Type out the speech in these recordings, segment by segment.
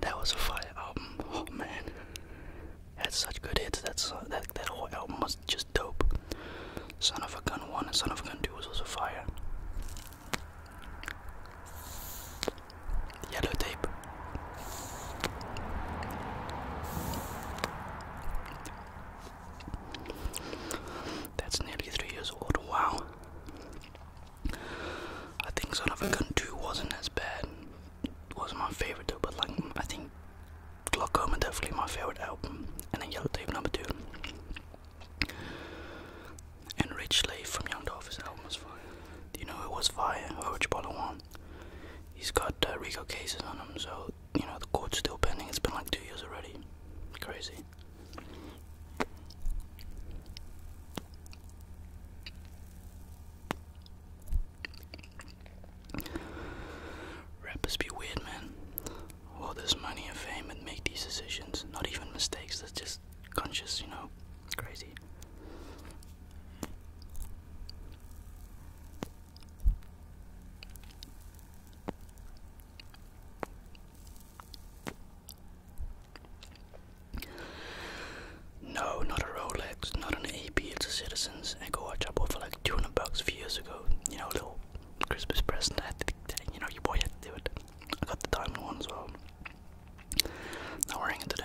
That was a fire album. Oh man, had such good hits. That's that that whole album was just dope. Son of a Gun One and Son of a Gun Two was also fire. Yellow Tape. That's nearly three years old. Wow. I think Son of a Gun 2 wasn't as bad, was my favorite though, but like I think Glaucoma definitely my favorite album, and then Yellow Tape number two, and Rich Slave from Young Dolphins album was fire. you know it was fire? Which Bottle one? He's got uh, Rico cases on him, so you know the court's still pending. It's been like two years already. Crazy. Rappers be weird, man. All this money and fame and make these decisions, not even mistakes, that's just conscious, you know? Crazy. No, not a Rolex, not an AP, it's a Citizens Echo Watch I bought for like 200 bucks a few years ago. You know, a little Christmas present. I had to, you know, you boy had to do it. I got the diamond ones. as well. Not wearing it today.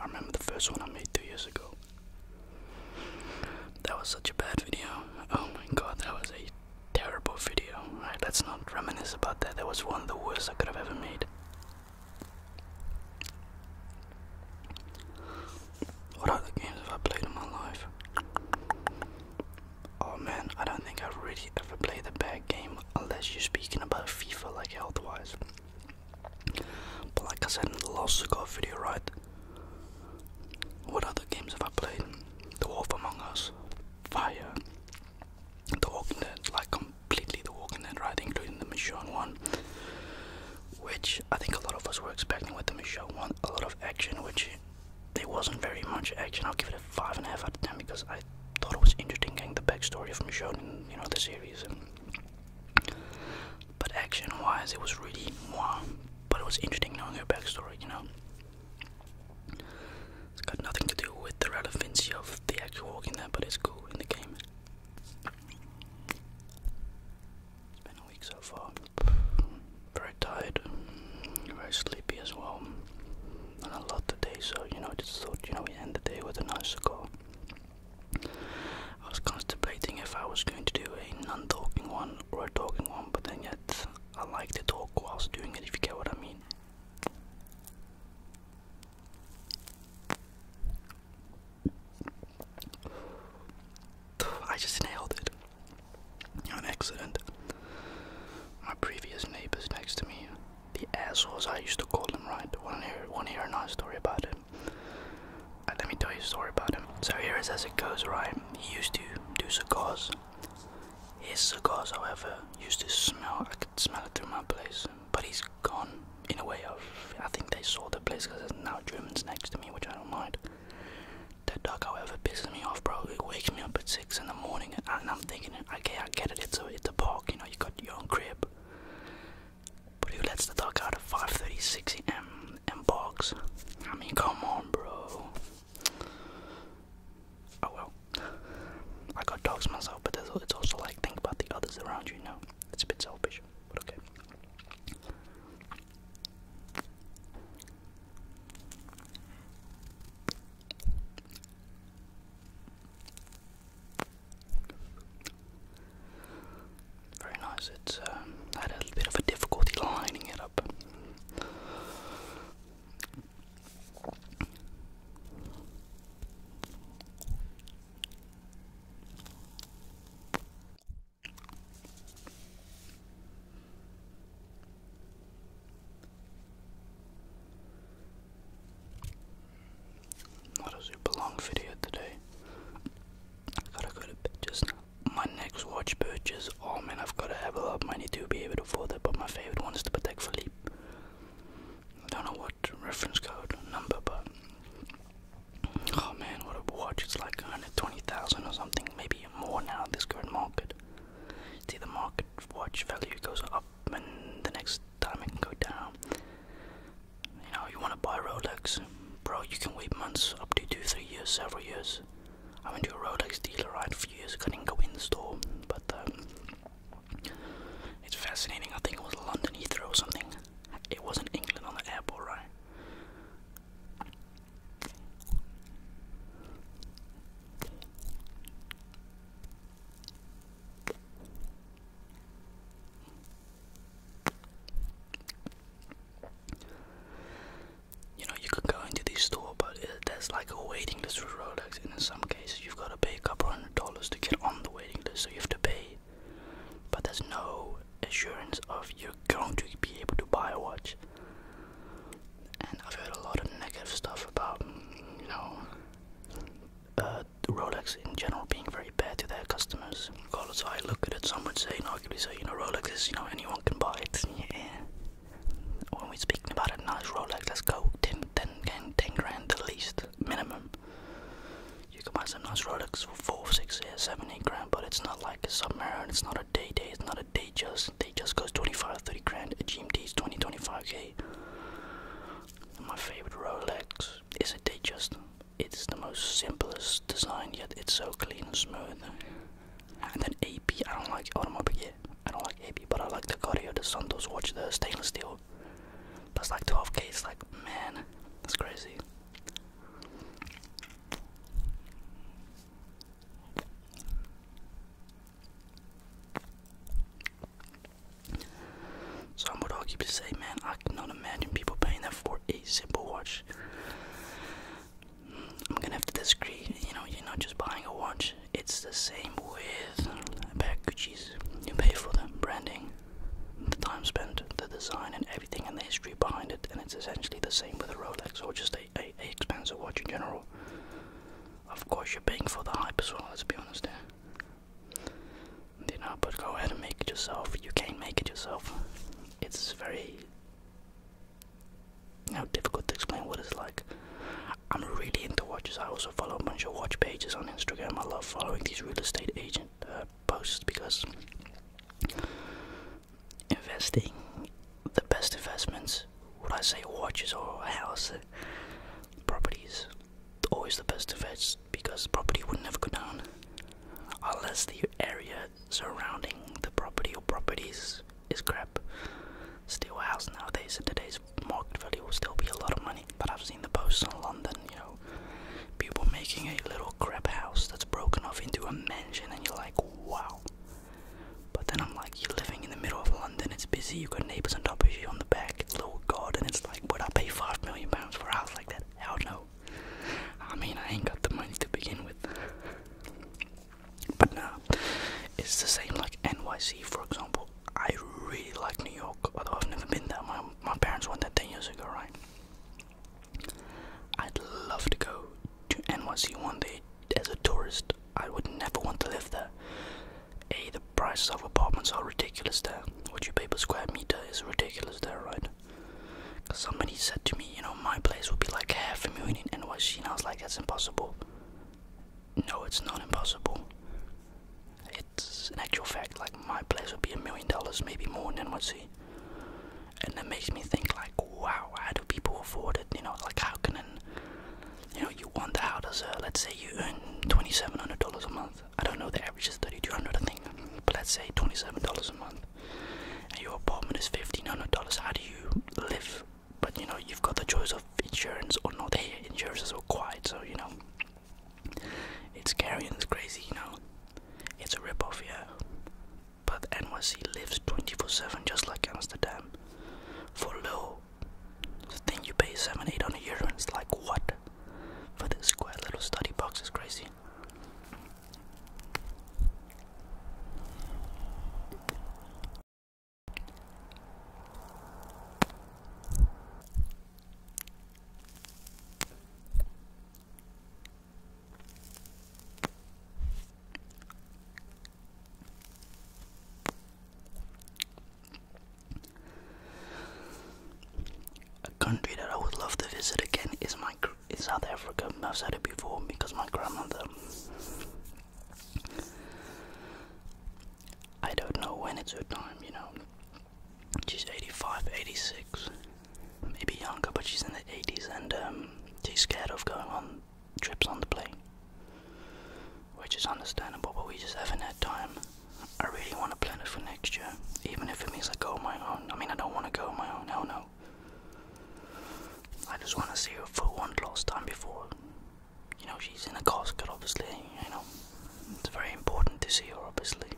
I remember the first one I made two years ago. That was such a bad video. Oh my god, that was a terrible video. Alright, let's not reminisce about that. That was one of the worst I could have ever made. What other games have I played in my life? Oh man, I don't think I've really ever played a bad game unless you're speaking about FIFA like health wise. But like I said in the last got a video, right? What other games have I played? The Wolf Among Us, Fire, The Walking Dead, like completely The Walking Dead, right? Including the Michonne one, which I think a lot of us were expecting with the Michonne one, a lot of action, which there wasn't very much action. I'll give it a five and a half out of ten because I thought it was interesting getting the backstory of Michonne in you know the series but action wise, it was really moi. But it was interesting knowing her backstory, you know? It's got nothing to do with the relevancy of the actual walking there, but it's cool in the game. It's been a week so far. Very tired, very sleepy as well. Not a lot today, so you know, I just thought, you know, we end the day with a nice cigar. I was contemplating if I was going to do a non-talking one or a talking one, but then yet I like to talk whilst doing it if you get what I mean. I just nailed it. An accident. My previous neighbors next to me the assholes I used to call him, right? Wanna hear, wanna hear a nice story about him? Uh, let me tell you a story about him. So here is as it goes, right? He used to do cigars. His cigars, however, used to smell. I could smell it through my place. But he's gone in a way of. I think they sold the place because there's now Germans next to me, which I don't mind. That dog, however, pisses me off, bro. It wakes me up at 6 in the morning and I'm thinking, okay, I get it. It's a, it's a park, you know, you got your own crib. But who lets the dog out of 5.36 m and box? I mean, come on, bro. Oh well. I got dogs myself, but it's also like, think about the others around you, you know? It's a bit selfish, but okay. Very nice. It's um, had a bit of a difficulty lining it up. Not a super long video today. gotta go to bed just now. My next watch purchase, oh man, I've gotta have a lot of money to be able to afford it, but my favorite one is the Patek Philippe. I don't know what reference code number, but oh man, what a watch! It's like 120,000 or something, maybe more now at this current market. See, the market watch value goes up up the next time it can go down. You know, you want to buy Rolex, bro, you can wait months, up to two, three years, several years. I went to a Rolex dealer right a few years ago, not go in the store, but um, it's fascinating. I think it was London Heathrow or something. It wasn't England on the airport, right? You know, you could go into this store, but there's like a waiting list for Rolex, and in some cases, you've got to pay up couple hundred dollars to get on the waiting list, so you have to pay. But there's no assurance of you're going to be able to buy a watch. And I've heard a lot of negative stuff about, you know, uh, Rolex in general being very bad to their customers. Regardless, I look at it, some would say, and arguably say, you know, Rolex is, you know, anyone can buy it. When we're speaking about a nice Rolex, let's go 10, 10, 10, 10 grand at least, minimum. You can buy some nice Rolex for 4, 6, 7, 8 grand, but it's not like a submarine, it's not a day day, it's not a day just. Day just goes 25, 30 grand, a GMT is 20, 25k my favorite Rolex is a they it's the most simplest design yet it's so clean and smooth. And then AP, I don't like automobile, yeah, I don't like AP, but I like the Cartier, the Santos watch, the stainless steel. That's like 12k, it's like, man, that's crazy. So I'm with to say, man, I cannot imagine people paying that for a simple watch. I'm gonna have to disagree. You know, you're not just buying a watch. It's the same with a pair of Gucci's. You pay for the branding, the time spent, the design, and everything, and the history behind it. And it's essentially the same with a Rolex or just a, expensive watch in general. Of course, you're paying for the hype as well. Let's be honest. There you know, but go ahead and make it yourself. You can make it yourself. It's very you difficult to explain what it's like. I'm really into watches. I also follow a bunch of watch pages on Instagram. I love following these real estate agent uh, posts because investing, the best investments, would I say watches or a house, properties, always the best of it because the property would not ever go down unless the area surrounding the property or properties is crap. Still, a house nowadays in today's market value will still be a lot of money. But I've seen the posts in London, you know, people making a little crap house that's broken off into a mansion, and you're like, wow. But then I'm like you're living in the middle of London, it's busy, you've got neighbours on top of you, on the back, little garden, it's like, would I pay five million pounds for a house like that? Hell no. I mean, I ain't got the money to begin with. But nah, it's the same like NYC, for example. I really like New York, although I've never been there. My, my parents went there 10 years ago, right? I'd love to go to NYC one day as a tourist. I would never want to live there. A, the prices of apartments are ridiculous there. What you pay per square meter is ridiculous there, right? somebody said to me, you know, my place would be like half a million and NYC, and I was like, that's impossible. No, it's not impossible. It's an actual fact, like, my place would be a million dollars, maybe more than in NYC. And that makes me think, like, wow, how do people afford it? You know, like, how can an you know, you want the hours, uh, let's say you earn $2,700 a month. I don't know, the average is 3200 I think, but let's say $27 a month. And your apartment is $1,500. How do you live? But you know, you've got the choice of insurance or not. Hey, insurance is required, so you know, it's scary and it's crazy, you know. It's a ripoff, yeah. But NYC lives 24 7 just like Amsterdam for low this thing you pay seven, eight on and it's like what? For this square little study box is crazy. A country that I would love to visit again is my South Africa. I've said it before because my grandmother. I don't know when it's her time, you know. She's 85, 86, maybe younger, but she's in the 80s and um, she's scared of going on trips on the plane, which is understandable, but we just haven't had time. I really want to plan it for next year, even if it means I go on my own. I mean, I don't want to go on my own, hell no. I just want to see her for one last time before, you know, she's in a casket, obviously, you know. It's very important to see her, obviously.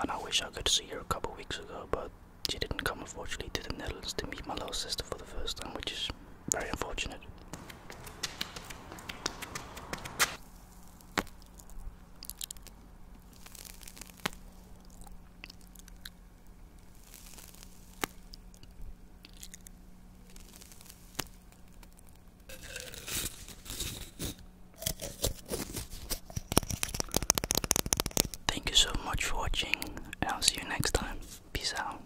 And I wish I could see her a couple weeks ago, but she didn't come, unfortunately, to the Netherlands to meet my little sister for the first time, which is very unfortunate. Thank you so much for watching, I'll see you next time. Peace out.